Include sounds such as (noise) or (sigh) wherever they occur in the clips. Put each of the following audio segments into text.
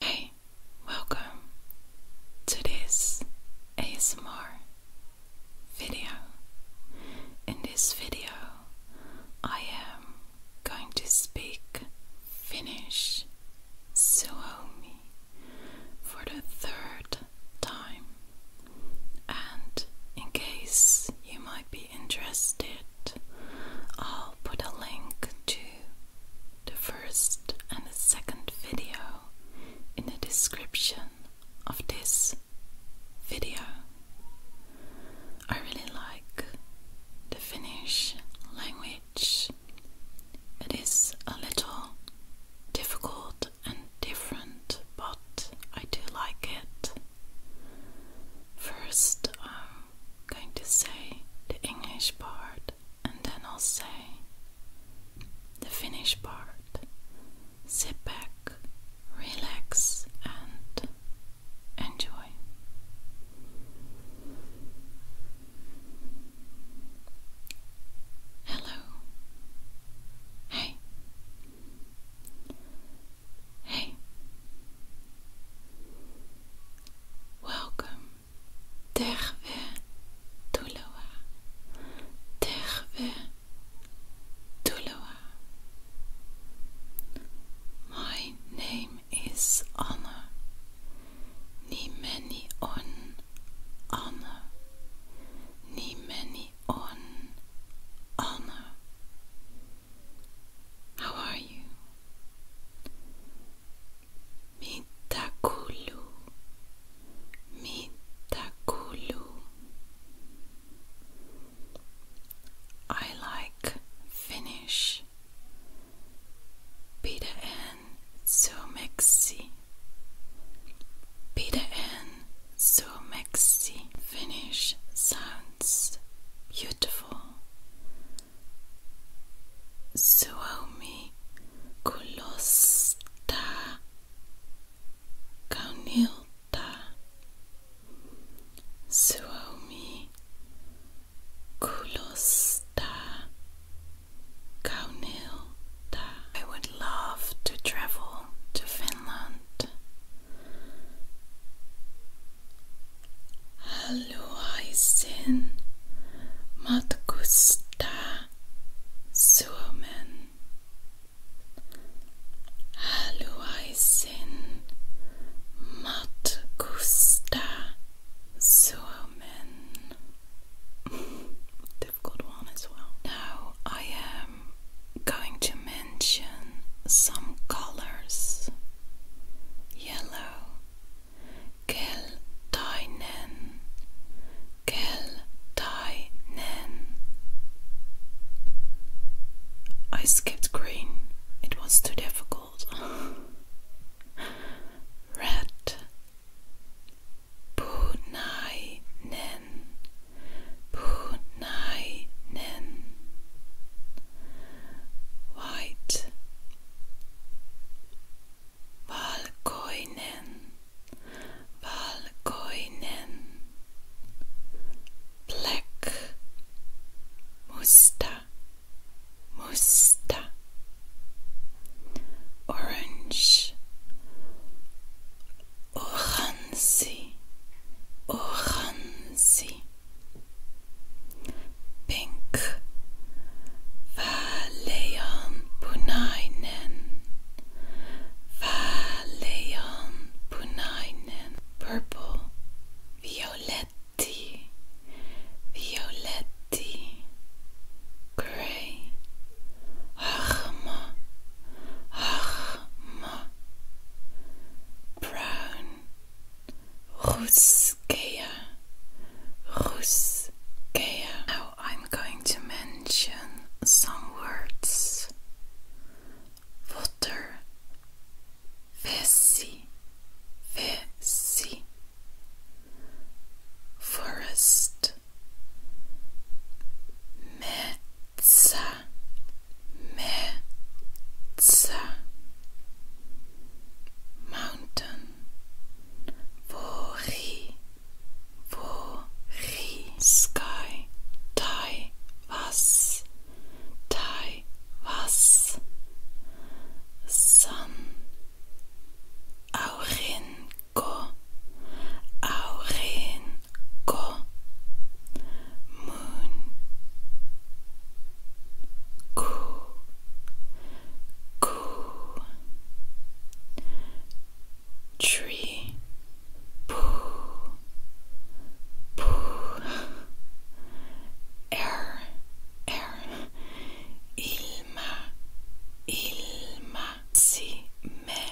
Hey, welcome to this ASMR video. In this video, I am going to speak Finnish Suomi for the third time. And in case you might be interested, I'll put a link to the first and the second video in the description of this video. I really like the Finnish language. It is a little difficult and different, but I do like it. First, um, going to say the English part and then I'll say the Finnish part. Sit back, relax, and enjoy. Hello. Hey. Hey. Welcome, terve tuloa, terve tuloa. My name is Anna, ni many on Anna, ni many on Anna. How are you? Mitakulu. Mitakulu. I like Finnish. Pitä en suomeksi. Pitä en suomeksi. Finnish sound once beautiful Suomi kulosta kaunilta Suomi kulosta kaunilta I would love to travel to Finland haluaisin matkustaa Suomen. Haluaisin matkustaa Suomen. Difficult one as well. Now I am going to make attention some colors yellow Keltainen Keltainen I skipped green it was too difficult (laughs) Red Punainen Punainen White Black Musta Musta Orange oranzi, oranzi, pink, Valleon punainen, Valleon punainen, purple, violetti, violetti, grey, harma, harma brown Russkaya Russkaya Now I'm going to mention some words water Vessi Vessi Forest Me ца, ме, ца. Mountain, vori, vori. Sky, tai, was, tai, was. Sun, aurinco, aurinco, moon, coo, coo, tree, poo, poo, air, air, ilma, ilma, si, me.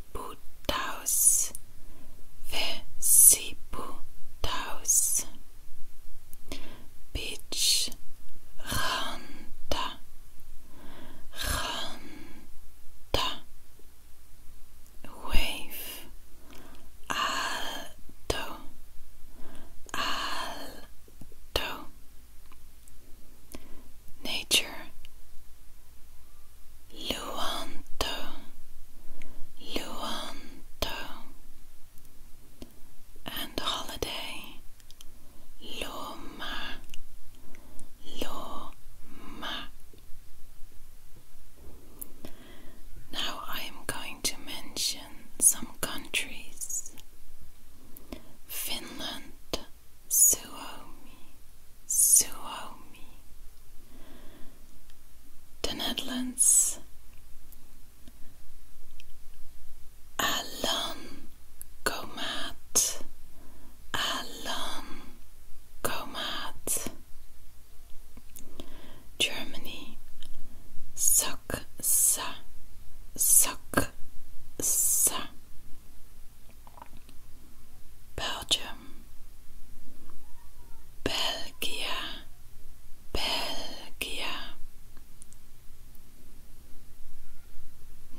Vesiputtaus, Vesiputtaus. Bitch, Ranta, Ranta. Wave, Alto, Alto. Nature, Luanto, Luanto, and holiday, Loma, Loma. Now I am going to mention some countries. Finland, Suomi, Suomi. The Netherlands. Allan Komat. Allan Komat. Germany. Sok sa. Sok sa. Belgium, Belgia, Belgia,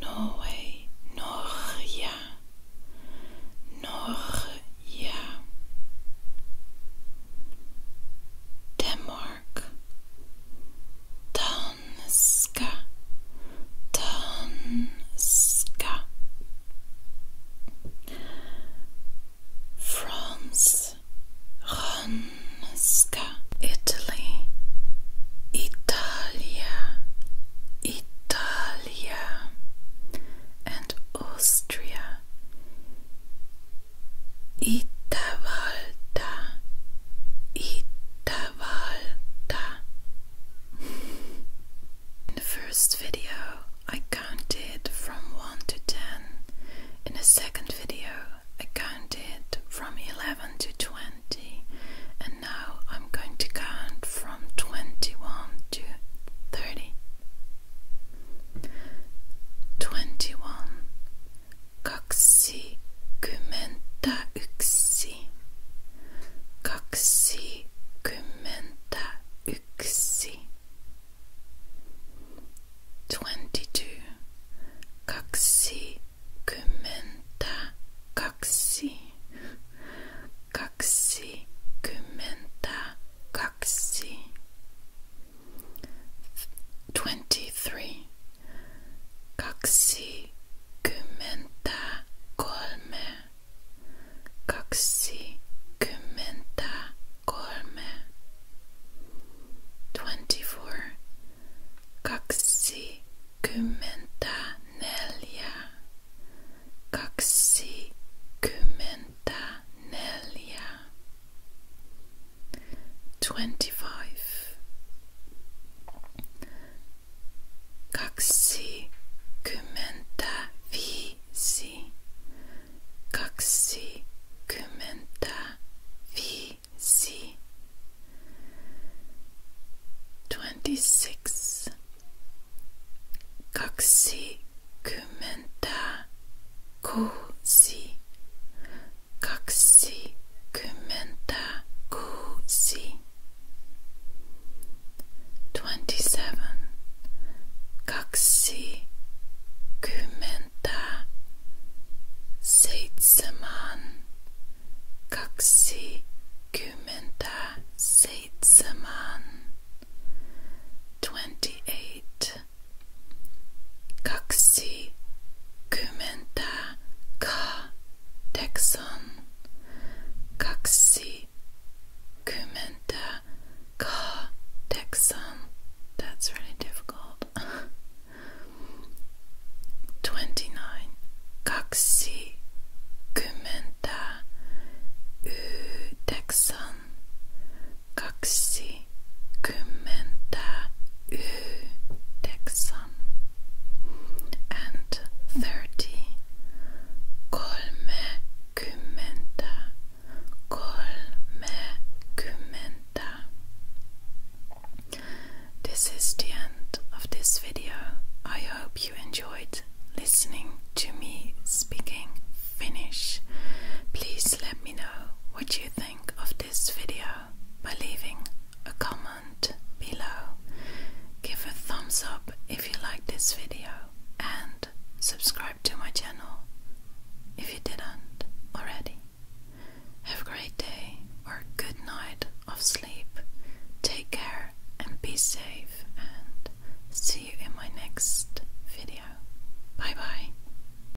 Norway, Norja, Norja, Denmark, Denmark. Danska, Danska. France, Ranska. Italy, Italia, Italia, and Austria. Itavalda, Itavalda. In the first video, I counted from 1 to 10. In the second video, I counted from 11 to 20. And now I'm going to count from 21 to 30. 21 Kaksi kymmentä yksi Twenty-two. kaksikymmentä yksi, twenty-two, kaksikymmentä kaksi, kaksikymmentä kaksi, twenty-three, kaksi kymmentä kolme, kaksi kymmentä kolme, twenty four, kaksi kymmentä neljä, kaksi kymmentä neljä, twenty five kaksikymmentä viisi, kaksikymmentä viisi, twenty six, kaksikymmentä kuusi, kaksikymmentä kuusi. Twenty-seven, kaksikymmentä seitsemän, kaksikymmentä seitsemän. Twenty-eight, kaksikymmentä Texan Kaksi Kumenta Ka Texan That's really difficult. (laughs) Twenty nine Kaksi Kumenta U Texan Kaksi yhdeksän and thirty kolmekymmentä kolmekymmentä This is the end of this video. I hope you enjoyed listening to me speaking Finnish. Please let me know what you think of this video by leaving a comment below. Give a thumbs up if you like this video and subscribe to my channel if you didn't already. Have a great day or good night of sleep. Take care and be safe and see you in my next video. Bye bye.